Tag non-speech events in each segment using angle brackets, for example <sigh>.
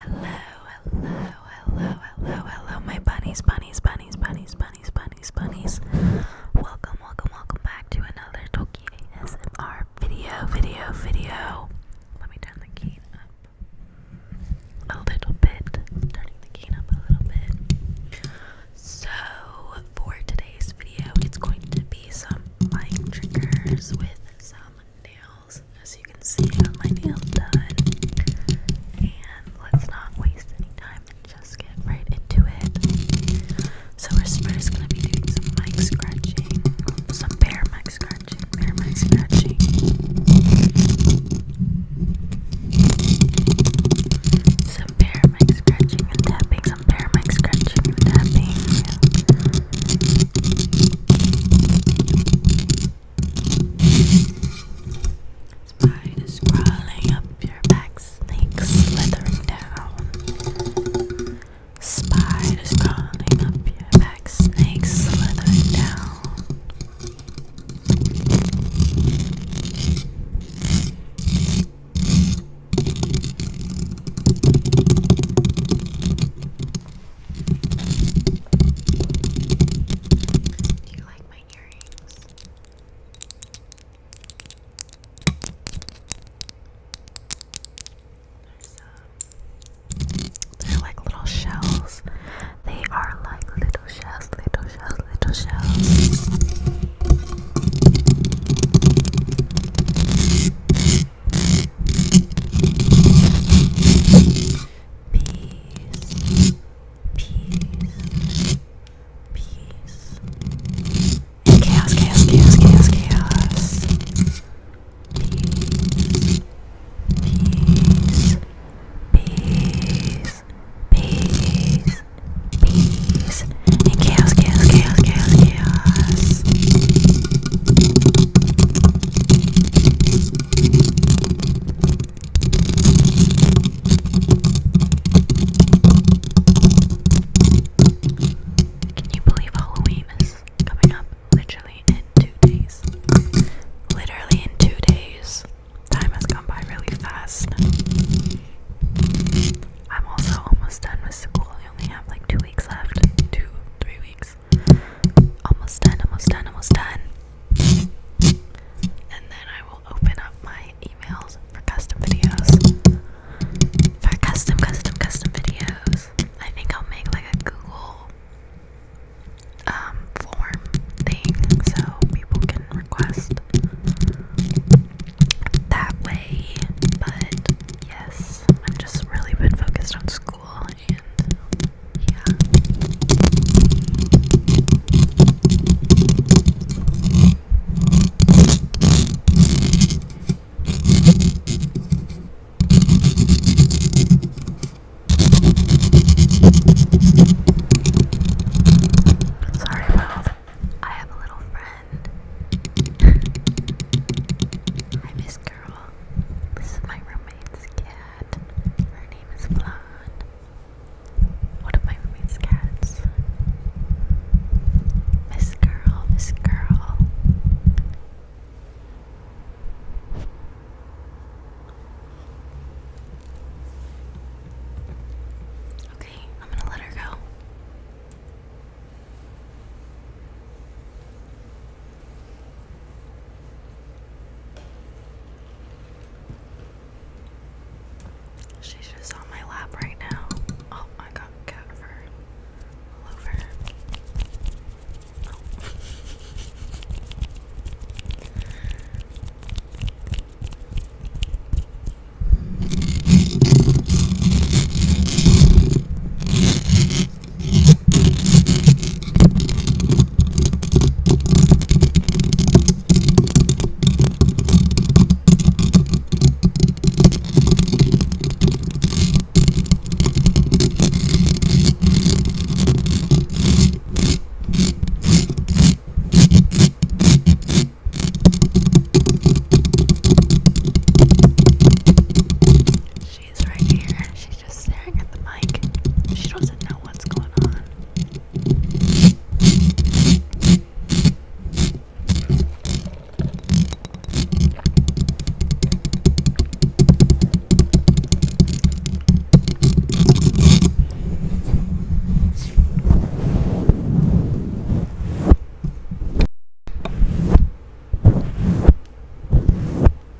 Hello, hello, hello, hello, hello, my bunnies, bunnies, bunnies, bunnies, bunnies, bunnies, bunnies. Welcome, welcome, welcome back to another Toki ASMR video, video, video. Let me turn the key up a little bit. Turning the key up a little bit. So, for today's video, it's going to be some mic triggers with some nail nails. As you can see, I my nails done. And let's not waste any time and just get right into it. So we're first gonna be mic scratching, some bare mic scratching, bare mic scratching. Some bare mic scratching and tapping, some bare mic scratching and tapping. Spider crawling up your back, snakes slithering down. Spiders crawling up your back, snakes slithering down. Do you like my earrings? Um, they're like little shells. They are like little shells, little shells, little shells peace, peace, peace, and chaos, chaos, chaos, chaos, chaos, peace, peace, peace, peace, peace, and chaos, chaos, chaos, chaos, chaos. Can you believe Halloween is coming up literally in two days? Literally in two days. Time has gone by really fast. I'm also almost done with school. We only have like two weeks left. Two, three weeks. Almost done, almost done, almost done. And then I will open up my emails for custom videos. For custom, custom, custom videos. I think I'll make like a Google um, form thing so people can request that way. But yes, I've just really been focused on school yeah. Sorry about I have a little friend. Hi, <laughs> Miss Girl. This is my roommate's cat. Her name is Blond. One of my roommate's cats. Miss Girl, Miss Girl. Okay, I'm gonna let her go. She's just on my lap right now. Oh, I got cat fur all over. She's right here. She's just staring at the mic. She doesn't know what's going on.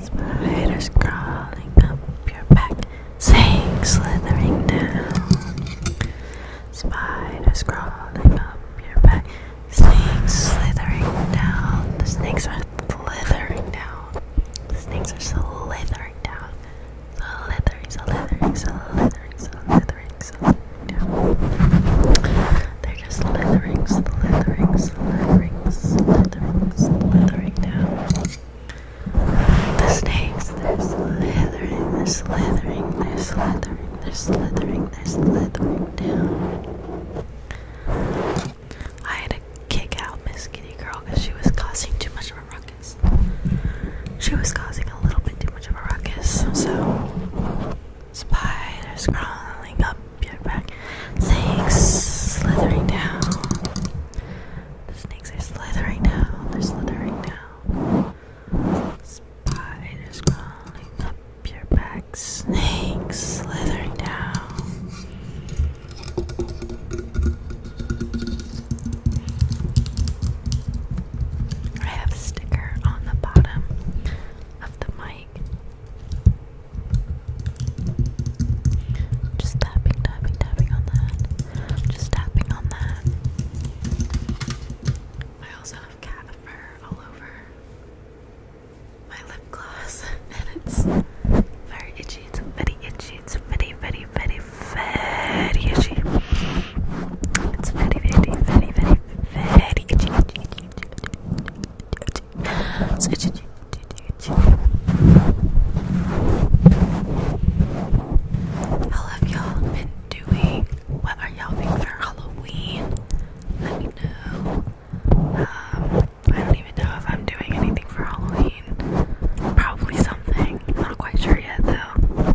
Spiders crawling up your back, snakes slithering down. Spiders crawling up your back, snakes slithering down. The snakes are slithering down. The snakes are slithering down. Slytherin, Slytherin, Slytherin, Slytherin, Slytherin. Yeah. They're just slithering, slithering, slithering, slithering, slithering down. The snakes, they're slithering, they're slithering, they're slithering, they're slithering, they're slithering down. I had to kick out Miss Kitty Girl because she was causing too much of a ruckus. She was causing a little bit too much of a ruckus, so spiders crawling up your back, snakes slithering down. The snakes are slithering down, they're slithering down. Spiders crawling up your back, snakes slithering down. I have a sticker on the bottom of the mic. Just tapping, tapping, tapping on that. Just tapping on that. I also have cat fur all over my lip gloss, <laughs> and it's very itchy. It's very itchy. It's very, very, very, very itchy. It's very, very, very, very, very itchy. It's itchy, itchy, itchy. How have y'all been doing? What are y'all doing for Halloween? Let me know. Um, I don't even know if I'm doing anything for Halloween. Probably something. I'm not quite sure yet, though.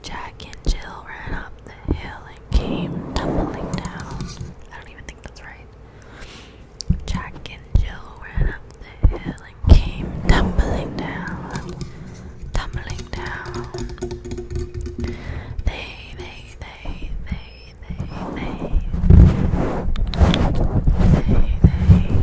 Jack and Jill ran up the hill and came tumbling down. I don't even think that's right. Jack and Jill ran up the hill and came tumbling down, tumbling down. They, they, they, they, they, they, they, they.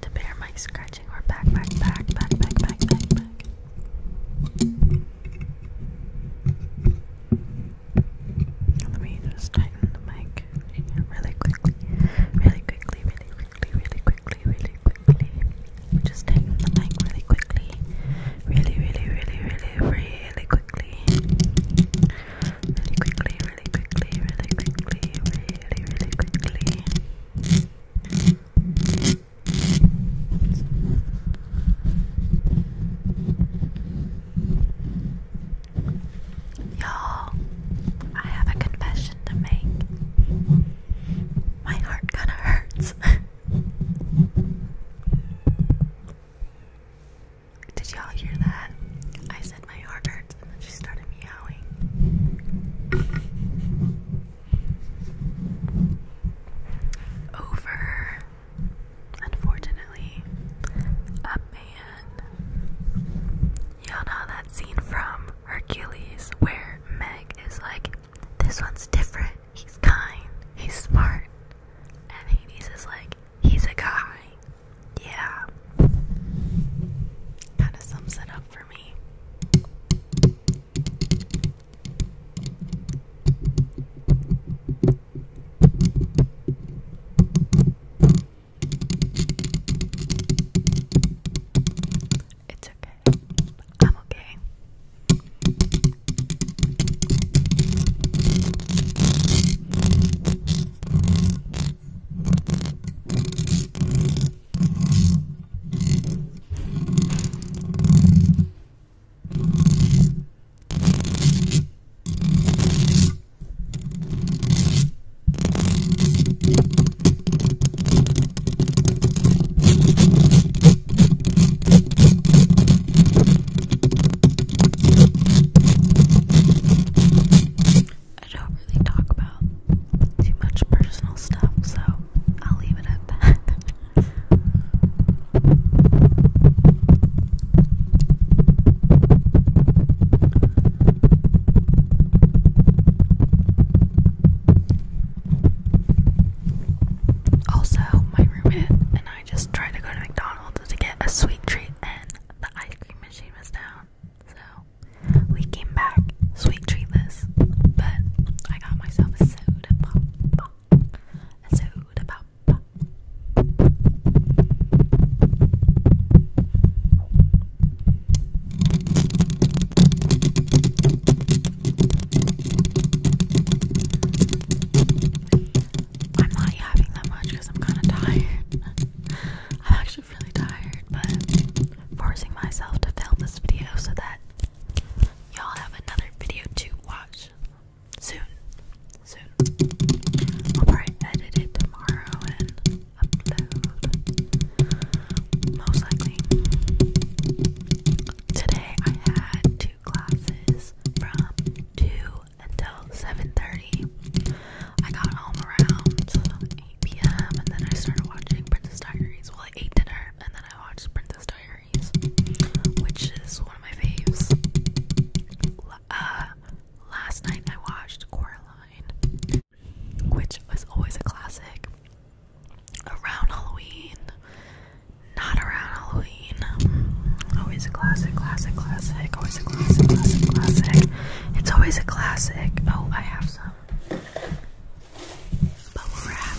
to bear my scratching or back, back, back, back, back, back, back, Let me just tighten the mic really quickly, really quickly, really quickly, really quickly, really quickly. Just tighten the mic really quickly, really, really, really, really, really quickly, really quickly, really quickly, really quickly, really, really quickly you I have a confession to make. My heart kind of hurts. <laughs> Did y'all hear that? I said my heart hurts, and then she started meowing over, unfortunately, a man. you know that scene from Hercules where Meg is like, This one's different, he's kind, he's smart. And Hades is like, He's a guy. Yeah. Kind of sums it up for me. It's okay. I'm okay. I don't really talk about too much personal stuff, so I'll leave it at that. Also, my roommate and I just tried to go to McDonald's to get a sweet treat, and the ice cream machine was down. So we came back sweet treat but I got myself a soda pop, a soda pop. I'm not having that much because I'm kind of tired. <laughs> I'm actually really tired, but forcing myself to film this video so that y'all have another video to watch soon. Soon. I'll probably edit it tomorrow and upload. Most likely. Today I had two classes from 2 until 7.30. I got home around 8 p.m. and then I started watching Princess Diaries while I ate dinner and then I watched Princess Diaries, which is one of my faves. Uh, last night I watched Coraline, which was always a classic. Around Halloween, not around Halloween. Always a classic, classic, classic. Always a classic, classic, classic. It's always a classic. Oh, I have some. But we're at.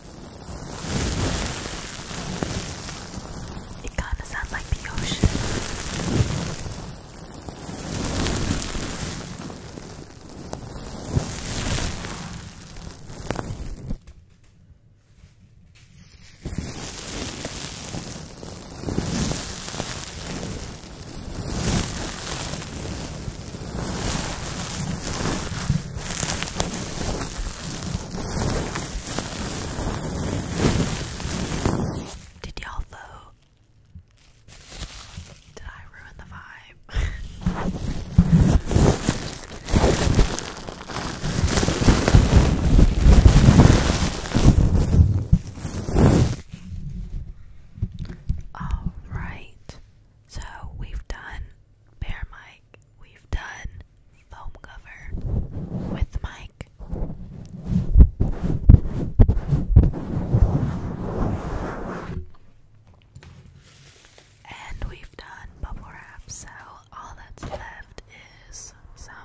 It kind of sounds like the ocean. Did y'all though? Did I ruin the vibe? All right. So we've done Bear My we've done foam cover with Mike. And we've done bubble wrap, so all that's left is some.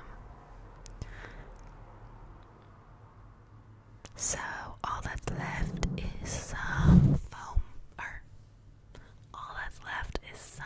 So all that's left is some foam, or all that's left is some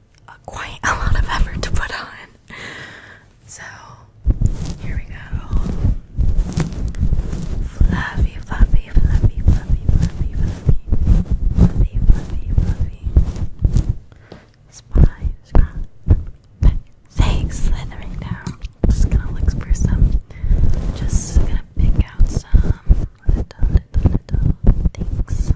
Uh, quite a lot of effort to put on. So here we go. Fluffy, fluffy, fluffy, fluffy, fluffy, fluffy, fluffy, fluffy, fluffy. Spy, scrub, thanks, slithering down. Just gonna look for some. Just gonna pick out some little, little, little things.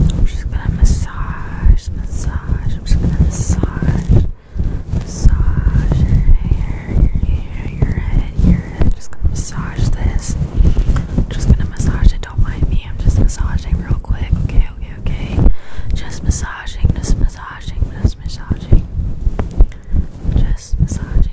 I'm just gonna massage, massage, I'm just gonna massage, massage your hair, your hair, your head, your head. Just gonna massage this. Just gonna massage it. Don't mind me. I'm just massaging real quick. Okay, okay, okay. Just massaging, just massaging, just massaging. Just massaging.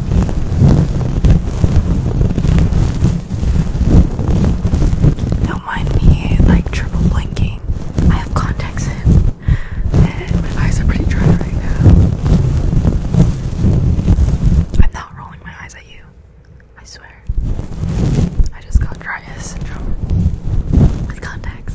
Don't mind me like triple blinking. I have contacts and my eyes are pretty dry right now. I'm not rolling my eyes at you. I swear. I just got dry eye syndrome with contacts.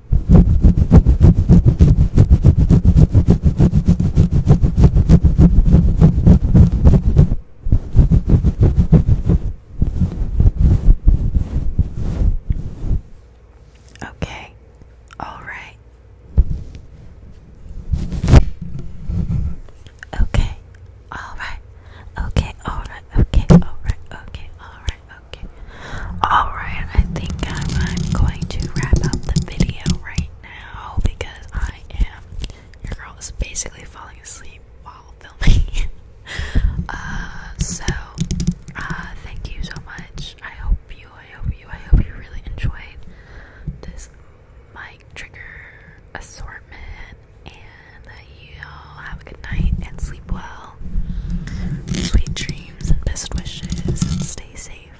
Okay, all right. Okay, all right. Okay, all right. Okay, all right. Okay, all right. Okay. Alright, I think I'm, uh, going to wrap up the video right now because I am. Your girl is basically falling asleep while filming. <laughs> Uh, so, uh, thank you so much. I hope you, I hope you, I hope you really enjoyed this mic trigger assortment. And that you all have a good night and sleep well. Sweet dreams and best wishes, and stay safe